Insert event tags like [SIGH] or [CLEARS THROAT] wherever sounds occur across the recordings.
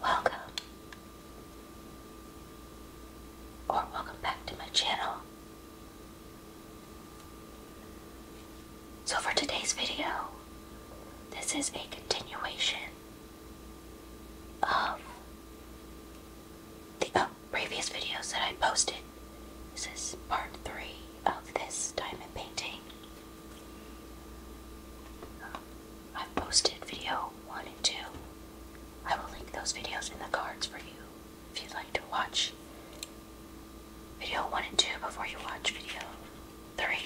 Welcome or welcome back to my channel. So for today's video, this is a continuation of the oh, previous videos that I posted. This is part three of this diamond painting. I've posted video 1 and 2. I will link those videos in the cards for you if you'd like to watch video 1 and 2 before you watch video 3.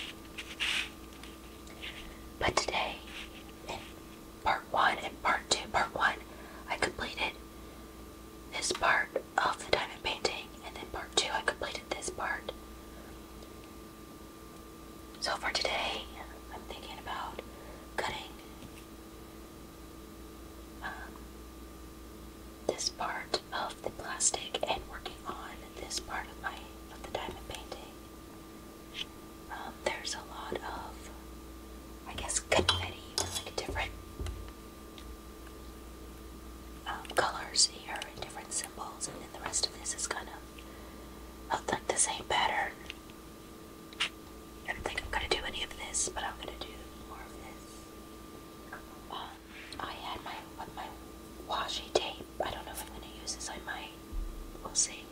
But today, in part 1 and part 2, part 1, I completed this part of the diamond painting, and then part two, I completed this part. So for today, I'm thinking about cutting um, this part of the plastic and working on this part of my of the diamond painting. Um, there's a lot of, I guess, confetti, like different um, colors here and different symbols, and then the rest of this is kind of. I think the same pattern. I don't think I'm gonna do any of this, but I'm gonna do more of this. Um, I had my my washi tape. I don't know if I'm gonna use this. I might. We'll see.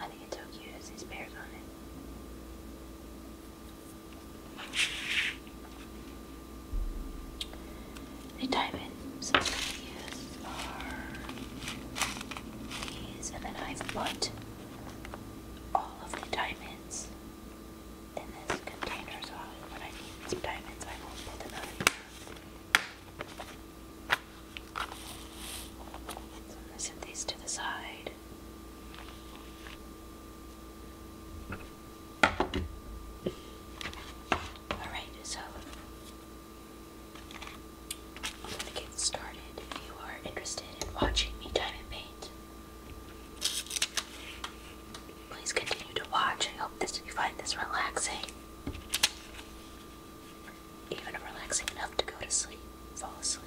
I think it's so cute. It has these bears on it. If you these, and then I've put all of the diamonds in this container, so when I need some diamonds, I will pull them out So I'm going to set these to the side. Alright, so I'm gonna get started if you are interested in watching me time paint. Please continue to watch. I hope this you find this relaxing. Even relaxing enough to go to sleep, fall asleep.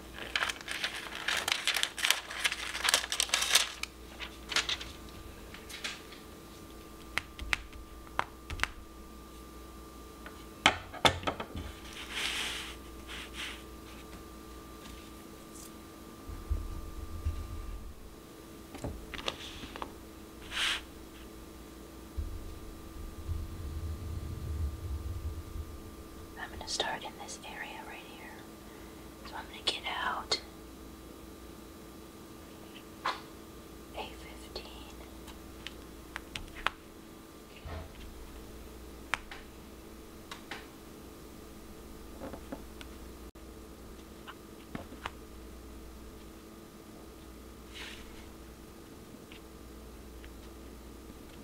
I'm going to start in this area right here. So I'm going to get out a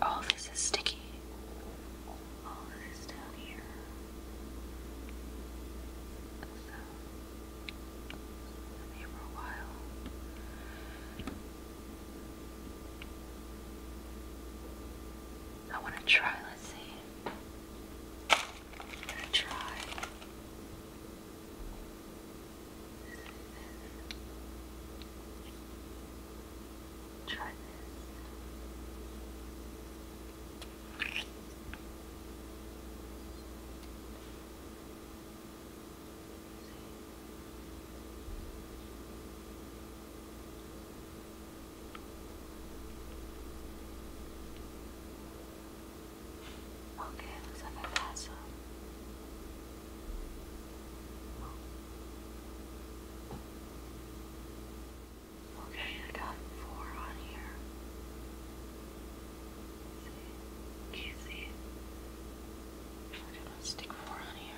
All this is sticky. All this down here. So I want to try, let's see. I'm gonna try. Try Ok, você vai passar. Okay, I got four on here. See? can I'm gonna stick more on here.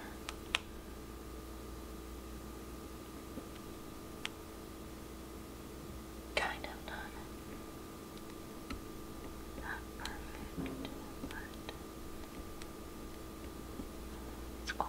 Kind of done. Not perfect, but it's cool.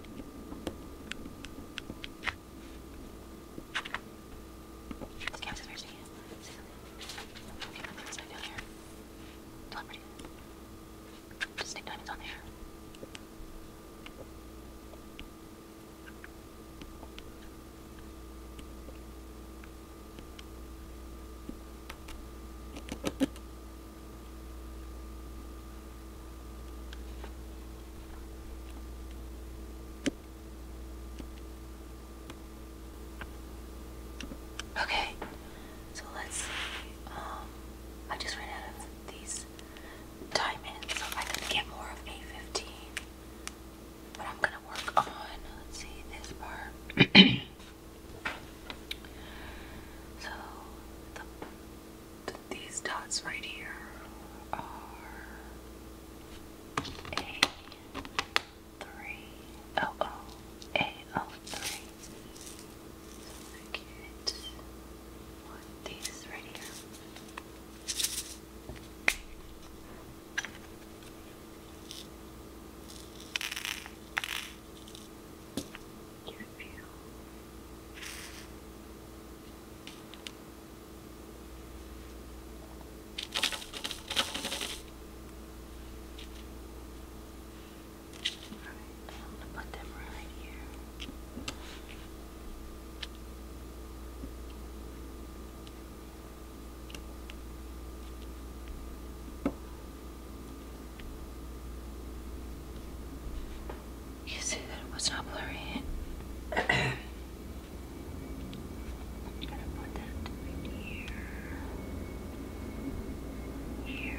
This camera is very something? Okay, nothing inside down here. It's not pretty. Just stick diamonds on there. Okay, so let's um, I just ran out of these diamonds, so I could get more of a 15. But I'm gonna work on, let's see, this part. [CLEARS THROAT] so, the these dots right here are a 3 So I get one of these right here. Can it feel? Alright, I'm gonna put them right here. You see that it was not blurry. I'm gonna put that right here. Here.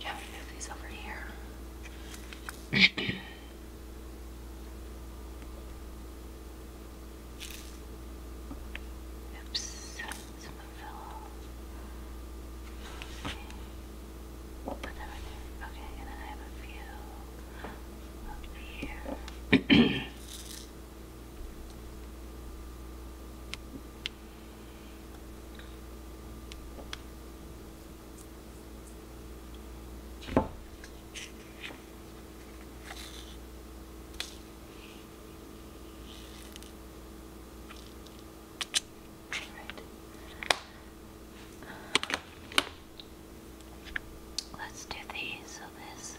You move these over here. Oops, some fell off. Okay. Okay, and then I have a few up here. [CLEARS THROAT] Right. Let's do these. So this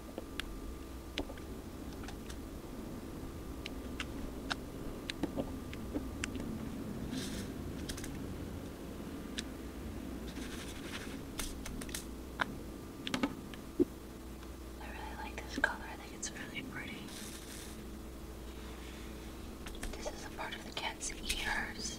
I really like this color, I think it's really pretty. This is a part of the cat's ears.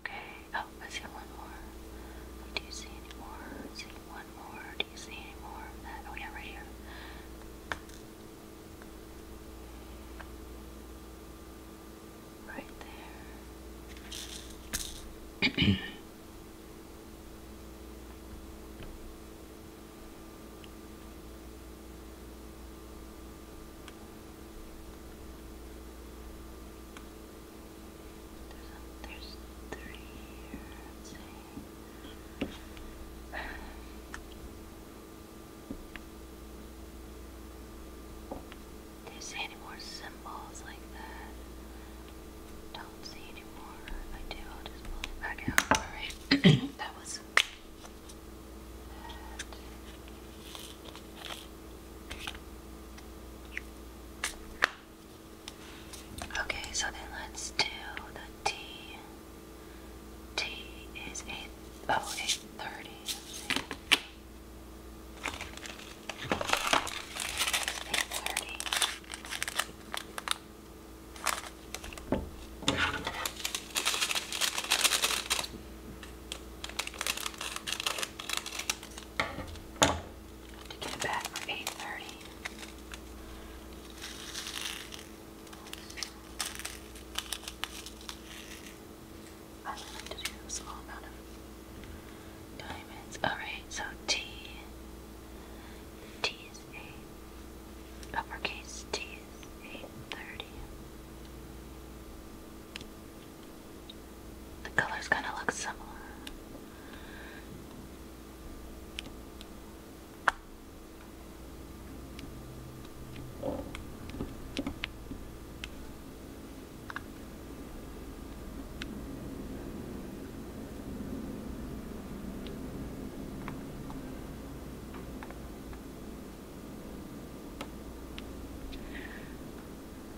Okay. Oh, I see one more. Do you see any more? see one more. Do you see any more that? Oh yeah, right here. Right there. [CLEARS THROAT] There's, a, there's three here, let's any more symbols like that? Don't see any more. I do, I'll [CLEARS THROAT] that was. That. Okay, so then let's do the T. T is eight oh eight thirty. Eight thirty to get back for 8.30. I only to do a small amount of diamonds. Alright, so T. T is 8. Uppercase T 8.30. The colors kind of look similar.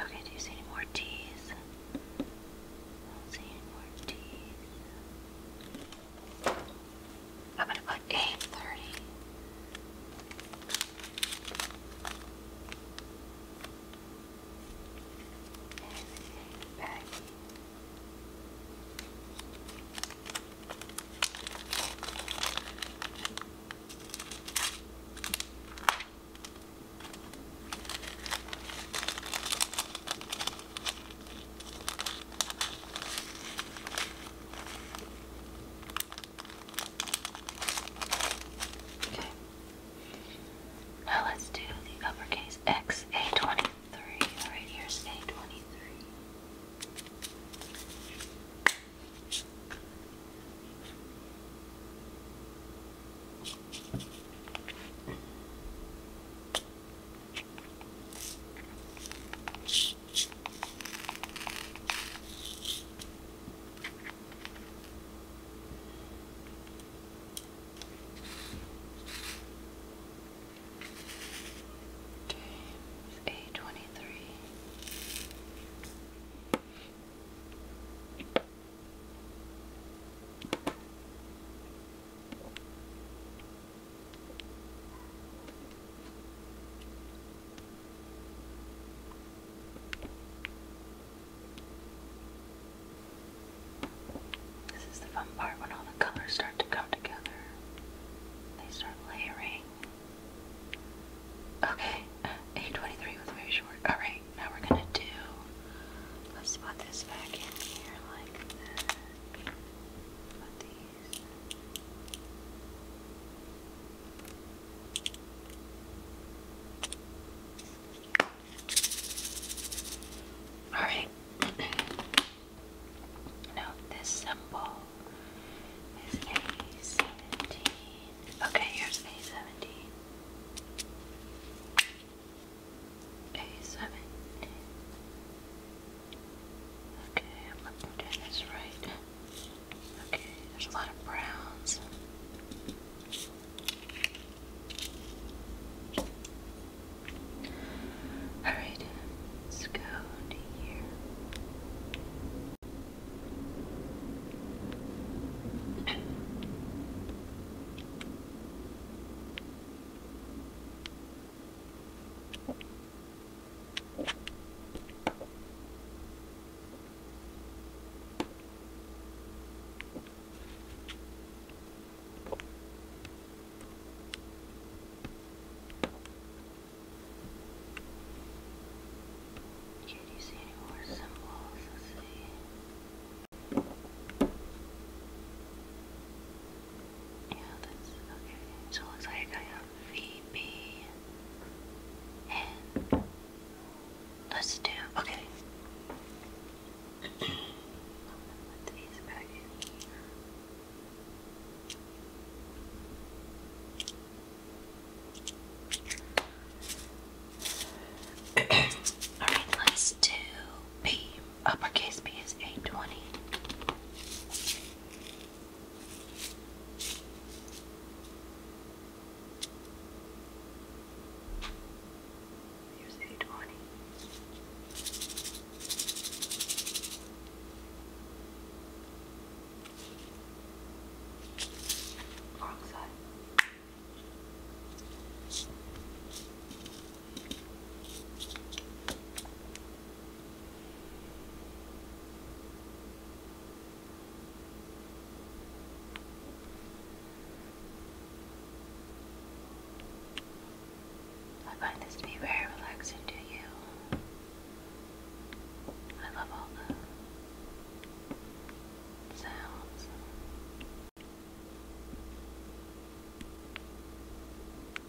Okay, do you see any more T's? see any more T's. I'm gonna put eight thirty. Okay. Now let's do the uppercase X A23. Alright, here's A23. James A twenty three. This is the fun part when all the colors start to come together. They start layering. Okay, 823 [LAUGHS] was very short. Alright, now we're gonna do. Let's put this back in here like that. All right. [CLEARS THROAT] now this symbol is A seventeen. Okay, here's A seventeen. A seventeen. Okay, I'm looking doing this right. Okay, there's a lot of browns. Alright, let's go to here. Okay, do you see any more symbols? Let's see. Yeah, that's okay. So it looks like I have VB and [COUGHS] let's do okay. gonna put these Alright, let's do B. Uppercase B is 820. Here's a twenty. Wrong side. I find this to be very relaxing to you. I love all the sounds.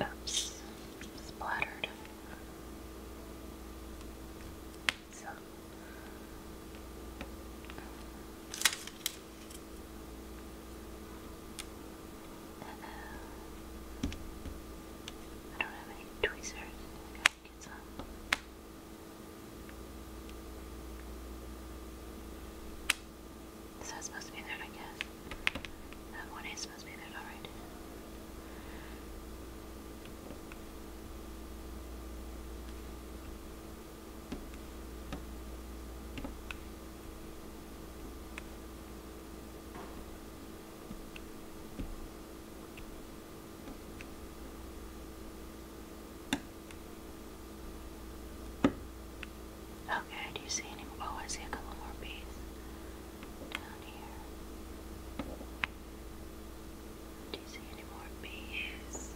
Oops, splattered. So. Uh, I don't have any tweezers. So it's supposed to be there, I guess. That one is supposed to be there, alright. Okay, do you see any oh I see a couple more bees down here. Do you see any more bees?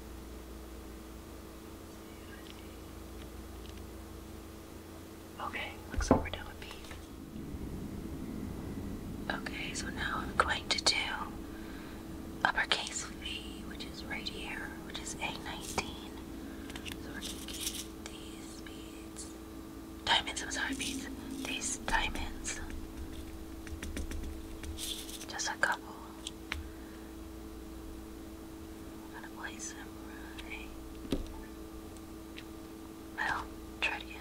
Okay, looks like we're done with bees. Okay, so now I'm going to do uppercase V, which is right here, which is A19. So these beads. Diamonds, I'm sorry, beads. These diamonds. Just a couple. I'm gonna place them right. Well, try again.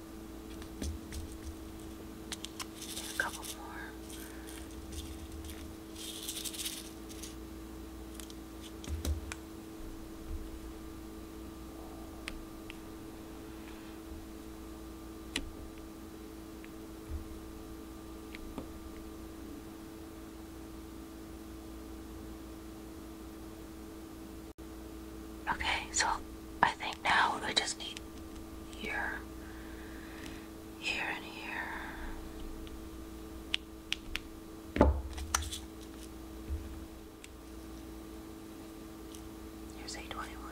a couple more. Okay, so I think now I just need here, here, and here. Here's eight twenty one.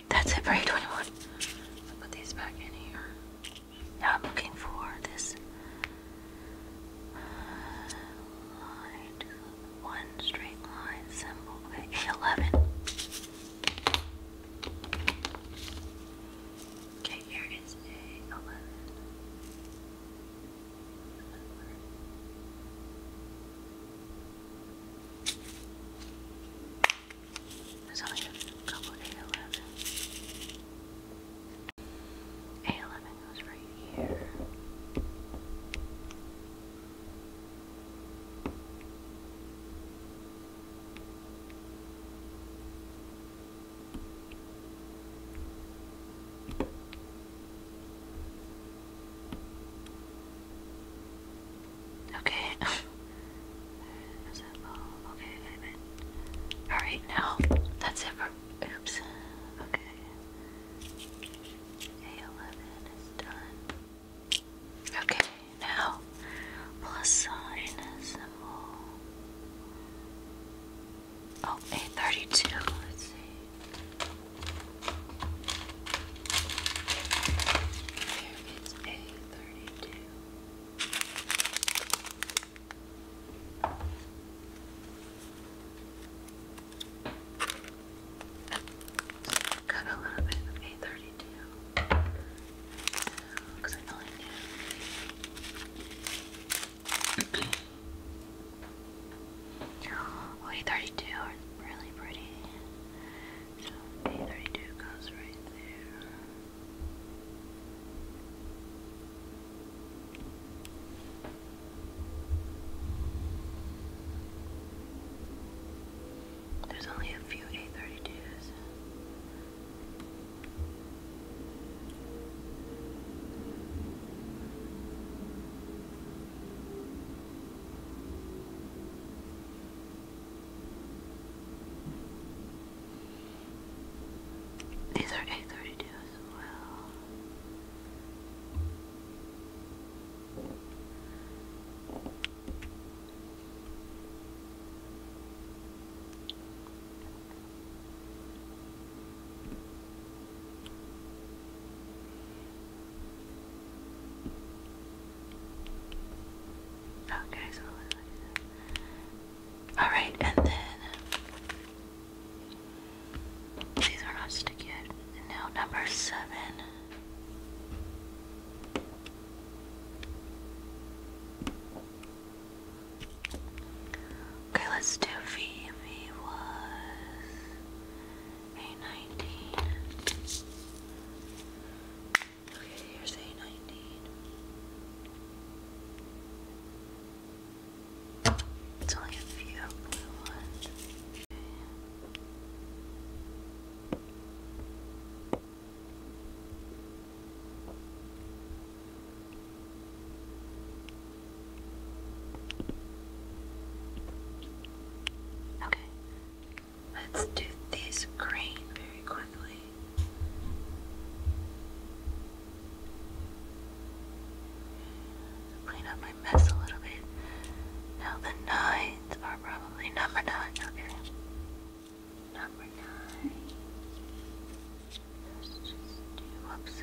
that's it for 821. twenty-one. put these back in here. Now I'm looking for this uh, one straight line symbol. Okay, 11. Okay, here is a 11. There's only a couple A11. A11 goes right here. Okay. [LAUGHS] Okay, Alright, now that's it Oops. Okay. A11 is done. Okay, now plus sign symbol. Oh, A32. Let's see. There is a 32. Cut a little bit of A32 [CLEARS THROAT] A32 are really pretty. So B32 goes right there. There's only a few A32s. These are eight thirty two as well. Okay, so all right, and then these are not sticky yet. now number seven. Okay, let's do V. V was a19. Okay, here's A19. It's only a few Okay. Okay, Let's do this green very quickly. Clean up my mess a little bit. Now the nines are probably number nine. Okay. Number 9 just do whoops.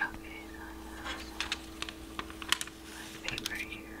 Okay, so I have my paper here.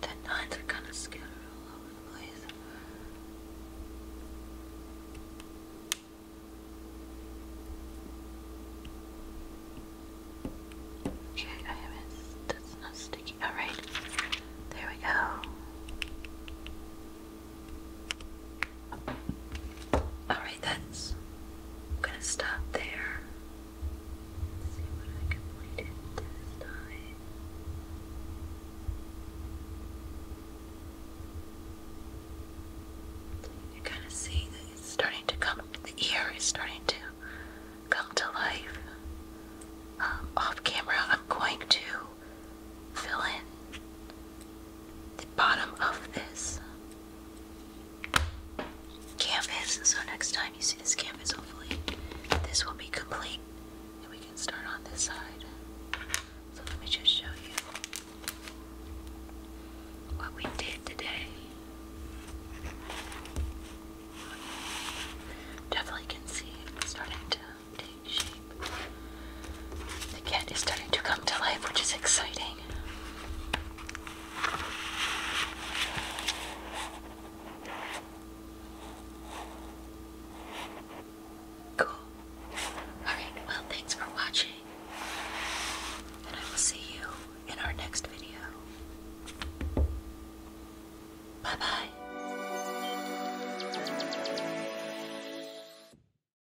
The nines are kind of scattered all over the place. Okay, I have That's not sticky. Alright, there we go. Alright, that's. I'm gonna stop there. see what I can point You can kind of see that it's starting to come, the ear is starting to come to life. Um, off camera, I'm going to fill in the bottom of this canvas. So next time you see this canvas, hopefully this will be complete. And we can start on this side. So let me just show you what we did today. Definitely can see it starting to take shape. The cat is starting to come to life, which is exciting. Cool. Alright, well, thanks for watching. And I will see you in our next video. Bye bye.